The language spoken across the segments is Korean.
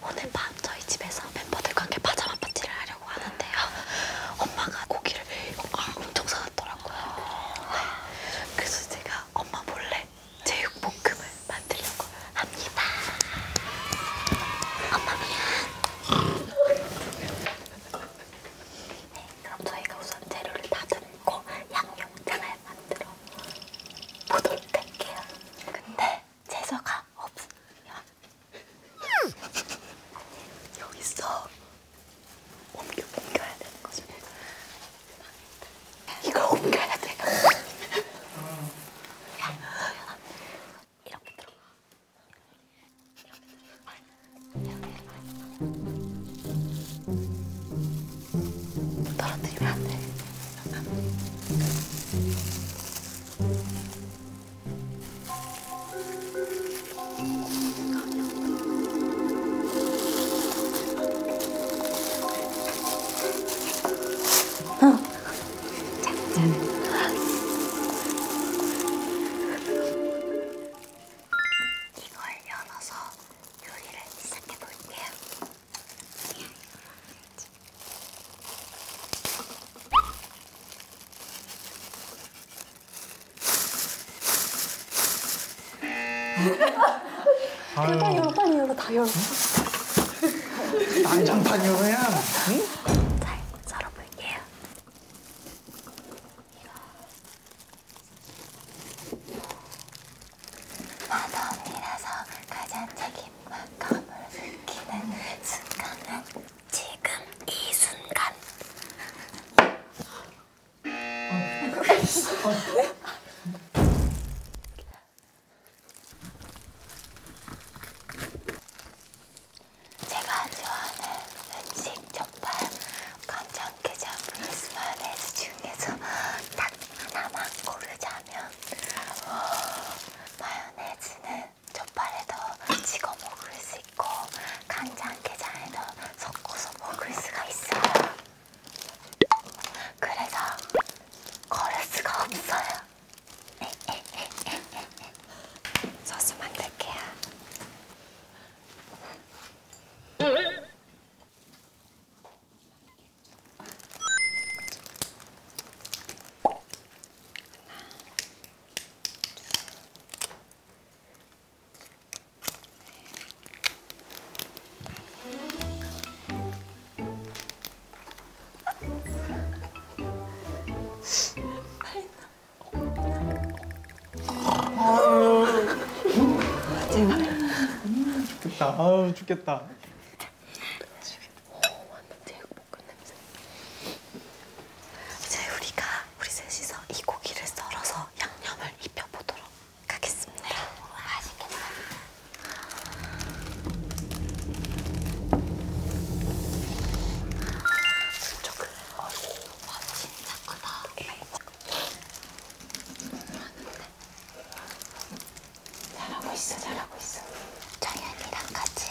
오늘 밤 저희 집에서 멤버들과 함께 파자마 파티를 하려고 하는데요. 엄마가 고기를 엄청 사놨더라고요. 네. 그래서 제가 엄마 몰래 제육볶음을 만들려고 합니다. 엄마 미안. 네, 그럼 저희가 우선 재료를 다 담고 양념장을 만들어 보도록 할게요. 근데 재서가 없어. 야. 여기 있어. 옮겨, 옮겨야 되는 거지. 이거 옮겨야 돼. 야, 이렇게 들어. 떨어뜨리면 안 돼. 이걸 열어서 요리를 시작해 볼게요. 일단 요로 빨리 요로 다 열어. 안전판 요로야. 응? 잘 썰어볼게요. 이거 마법이라서 가장 책임 입맛감을 느끼는 순간은 지금 이 순간. 제가 좋아하는 음식 정말 간장게장 프리스마 레스 중에서 딱 하나만 고르자면 오, 어, 마요네즈는 젓발에도 찍어 먹을 수 있고 간장 게장에도 섞어서 먹을 수가 있어요. 그래서 걸을 수가 없어요. 소스 만들게요. 죽겠다. 아우 죽겠다. 오, 완전 제육볶음 냄새. 이제 우리가 우리 셋이서 이 고기를 썰어서 양념을 입혀보도록 하겠습니다. 맛있겠다. 조금, 어이구, 와, 진짜 크다. 잘하고 있어, 잘하고 있어. 정연이랑 같이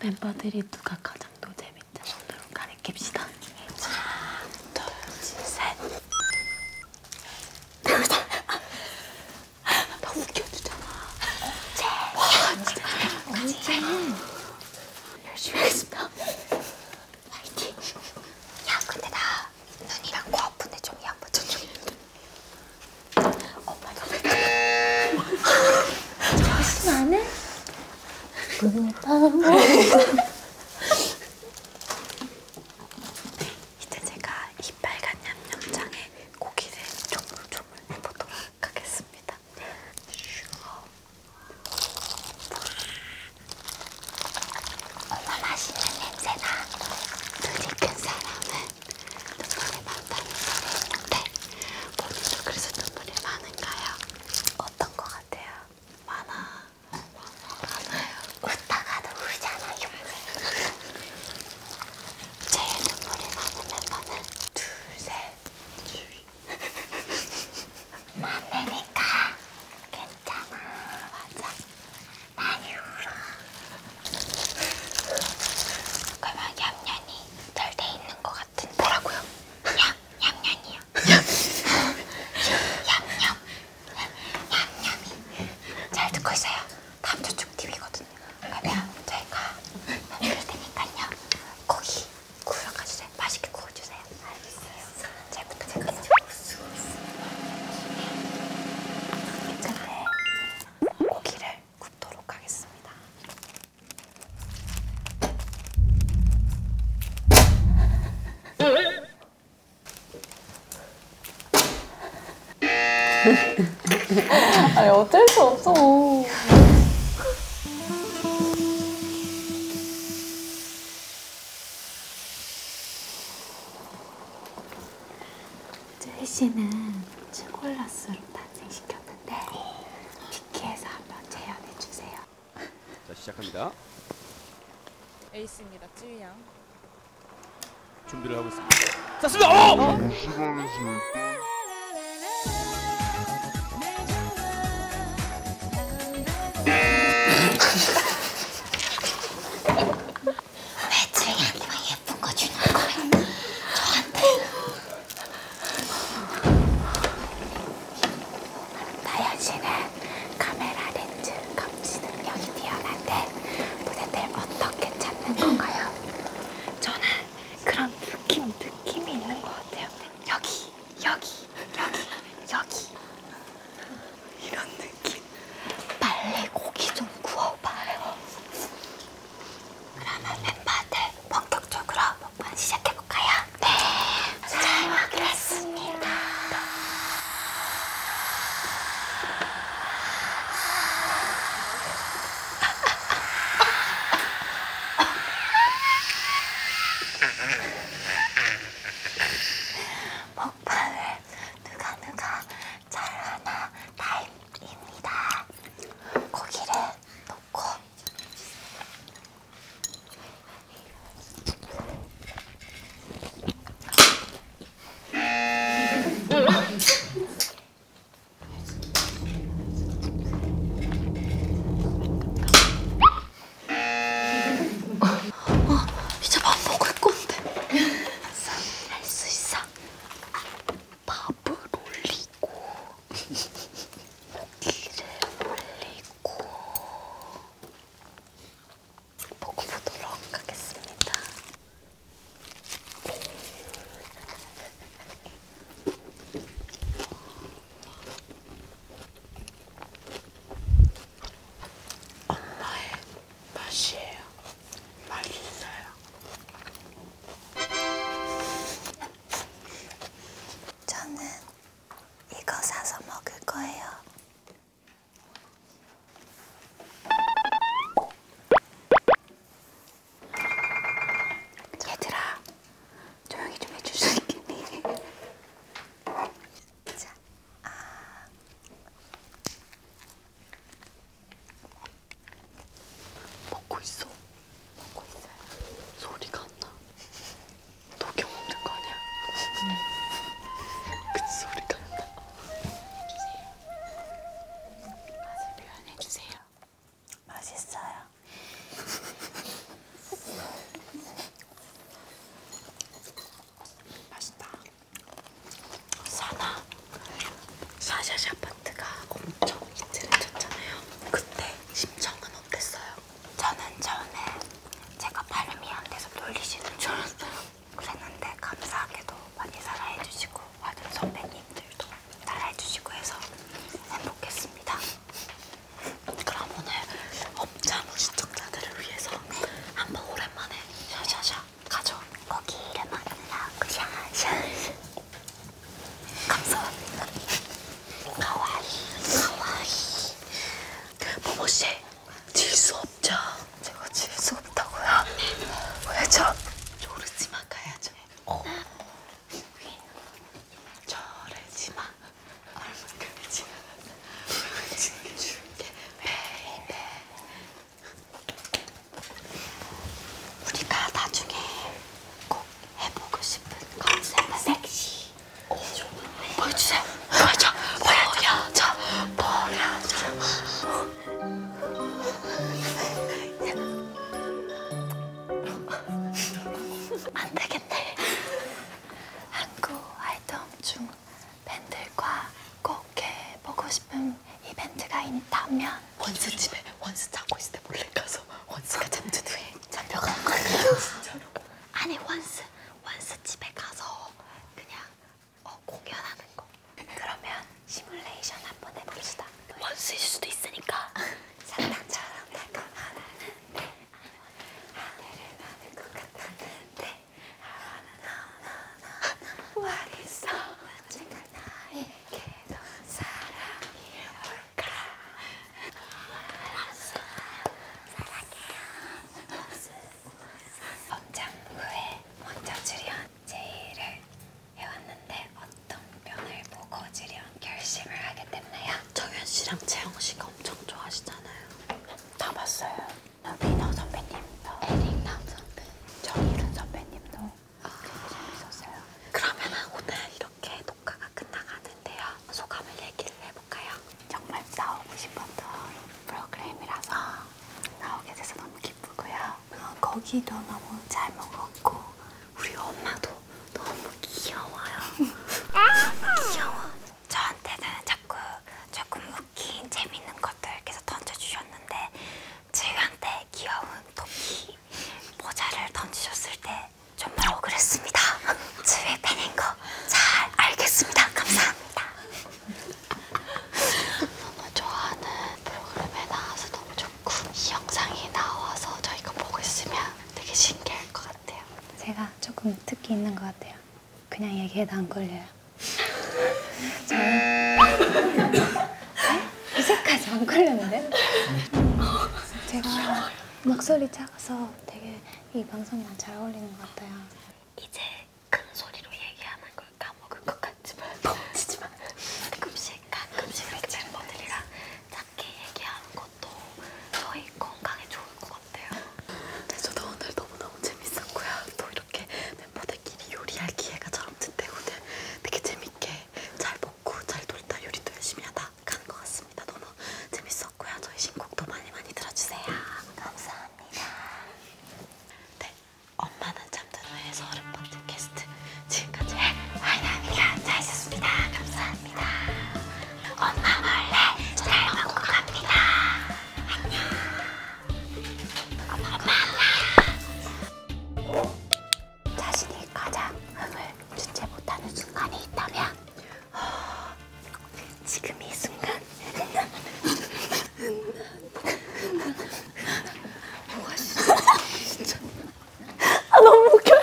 멤버들이 누가 가장 또 재밌다 손으로 가리킵시다. 하나, 둘, 셋. 나 아, 웃겨주잖아. 제. 와, 진짜 언제? 열심히 하겠습니다. 파이팅. 야, 근데 나 눈이랑 코 아픈데 좀 양보 좀 좀. 엄마 너무 정신 안 해? 문을 따고 이제 제가 이 빨간 양념장에 고기를 조물조물 해보도록 하겠습니다. 엄마 맛있는 냄새나 눈이 큰 사람은 눈물이 많다는 소리 했는데 본인도 그래서 눈물이 많은가요? 어떤 거 같아요? 많아 많아요 웃다가도 울잖아요 제일 눈물이 많은 멤버는 둘셋 만내니까 괜찮아 맞아 많이 울어 그러면 얌얌이 덜 돼 있는 것 같아 같은 뭐라고요? 얌얌얌이요. 얌얌. 얌얌이. 잘 듣고 있어요. 다음 주 축TV거든요. 그러면 저희가 만들 테니까요. 고기 구워가주세요. 맛있게 구워주세요. 알겠어요. 잘 부탁드려요. 이제 네. 고기를 굽도록 하겠습니다. 아니 어쩔 수 없어. 제이 씨는 츄골라스로 탄생시켰는데 어. 키키해서 한번 재현해 주세요. 자 시작합니다. 에이스입니다. 쯔위양. 준비를 하고 있습니다. 쐈습니다. 오! 어? 아, 왜 쯔위양이만 예쁜 거 주는 거야? 저한테 나연 씨는 카메라 렌즈 감지 능력이 뛰어난데 무대들 어떻게 찾는 건가요? 저는 그런 느낌, 느낌이 있는 것 같아요. 여기, 여기, 여기, 여기. 이런 느낌. 빨리 고기 좀 구워봐요. 그러면 멤버들 본격적으로 한번 시작해볼까요? 네. 잘 먹겠습니다. 먹방을 누가 누가 잘하나 타임입니다. 고기를 좋고 아, 어, 이제 밥 먹을 건데. 할 수 있어. 밥을 올리고 고기를 올리고 보고 보도록 하겠습니다. 엄마의 맛이에요. 맛있어요. 저는 이거 사서 먹을 거예요. 얘들아, 조용히 좀 해줄 수 있겠니? 자, 아. 먹고 있어. 먹고 있어요. 소리가 안 나. 도경 먹는 거 아니야? 음. 그 소리가 안 나. 주세요. 맛을 표현해 주세요. 맛있어요. 맛있다. 사나. 사샤샤 아파트가 엄청 인지를 쳤잖아요. 그때 심정은 어땠어요? 저는 처음에 제가 발음이 안 돼서 놀리시는 줄 알았어요. 그랬는데 감사하게도 많이 사랑해주시고 와준 선배님들도 사랑해주시고 해서 행복했습니다. 그럼 오늘 엄자무 시청자들을 위해서 한번 오랜만에 샤샤샤 가죠. 거기 이름 안 나오고 샤샤 감사합니다. 가와이, 가와이. 모모 씨, 질수 없죠? 제가 질 수 없다고요? 왜죠? 조르지마 가야죠. 어. 저래지마. 얼마큼이 지나갔나. 지켜줄게. 베이베. 우리가 나중에 꼭 해보고 싶은 컨셉은 섹시. 오, 보여주세요. 보여줘. 보여줘. 보여줘. 안 되겠네. 한국 아이돌 중 밴들과 꼭 해보고 싶은 이벤트가 있다면 원스 집에 원스 자고 있을 때 몰래 가서. 있어. 원스가 잠든 후에 잡혀간 거예요. 진짜로. 아니 원스, 원스 집에 가서 그냥 어, 공연하는 거. 그러면 시뮬레이션 한 번 해봅시다. 원스일 수도 있으니까. 사탕처럼 달콤하다는데 하늘을 나는 것 같았는데 나나나나 어딨어 언젠가 나에게도 사랑이 올 법장부에 먼저 출연 제의를 해왔는데 어떤 면을 보고 출연 결심을 하게 됐나요? 정현씨랑 재영씨가 엄청 좋아하시잖아요 다 봤어요 민호 선배님도 에릭남 선배 정일은 선배님도 아... 되게 재밌었어요 그러면 오늘 이렇게 이렇게 녹화가 끝나가는데요. 소감을 얘기를 해볼까요? 정말 나오고 싶었던 프로그램이라서 나오게 돼서 너무 기쁘고요. 어, 거기도 너무 잘 먹었고 우리 엄마도 너무 귀여워요. 귀여워. 저한테는 자꾸 조금 웃긴 재밌는 것들 계속 던져주셨는데 지한테 귀여운 토끼 모자를 던지셨을 때 정말 억울했습니다. 저의 팬인 거 잘 알겠습니다. 감사합니다. 너무 좋아하는 프로그램에 나와서 너무 좋고 이 영상이 나와서 저희가 보고 있으면 되게 신기할 것 같아요. 제가 조금 특기 있는 것 같아요. 그냥 얘기해도 안 걸려요. 저는 네? 이색까지 안 걸렸는데? 제가 목소리 작아서 되게 이 방송이랑 잘 어울리는 것 같아요. 이제 큰 소리로 얘기하는 걸 까먹은 뭐 것 같지만 넘치지만 가끔씩 가끔씩 이렇게 멤버들이랑 작게 얘기하는 것도 저희 건강에 좋을 것 같아요. 네, 저도 오늘 너무너무 재밌었고요. 또 이렇게 멤버들끼리 요리할 기회가 저럼 된 오늘 되게 재밌게 잘 먹고 잘 놀다 요리도 열심히 하다 다간것 같습니다. 너무 재밌었고요. 저희 신곡도 많이 많이 들어주세요. 감사합니다. 네, 엄마는 잠든 후에 서른 번째 게스트 지금까지 와이나입니다. 잘 있었습니다. 감사합니다. 엄마 몰래 잘 먹고 갑니다. 안녕. 엄마 몰래. 자신이 가장 흥을 주체 못하는 순간이 있다면 허, 어, 지금 이 순간 뭐가 진짜, 진짜 아 너무 웃겨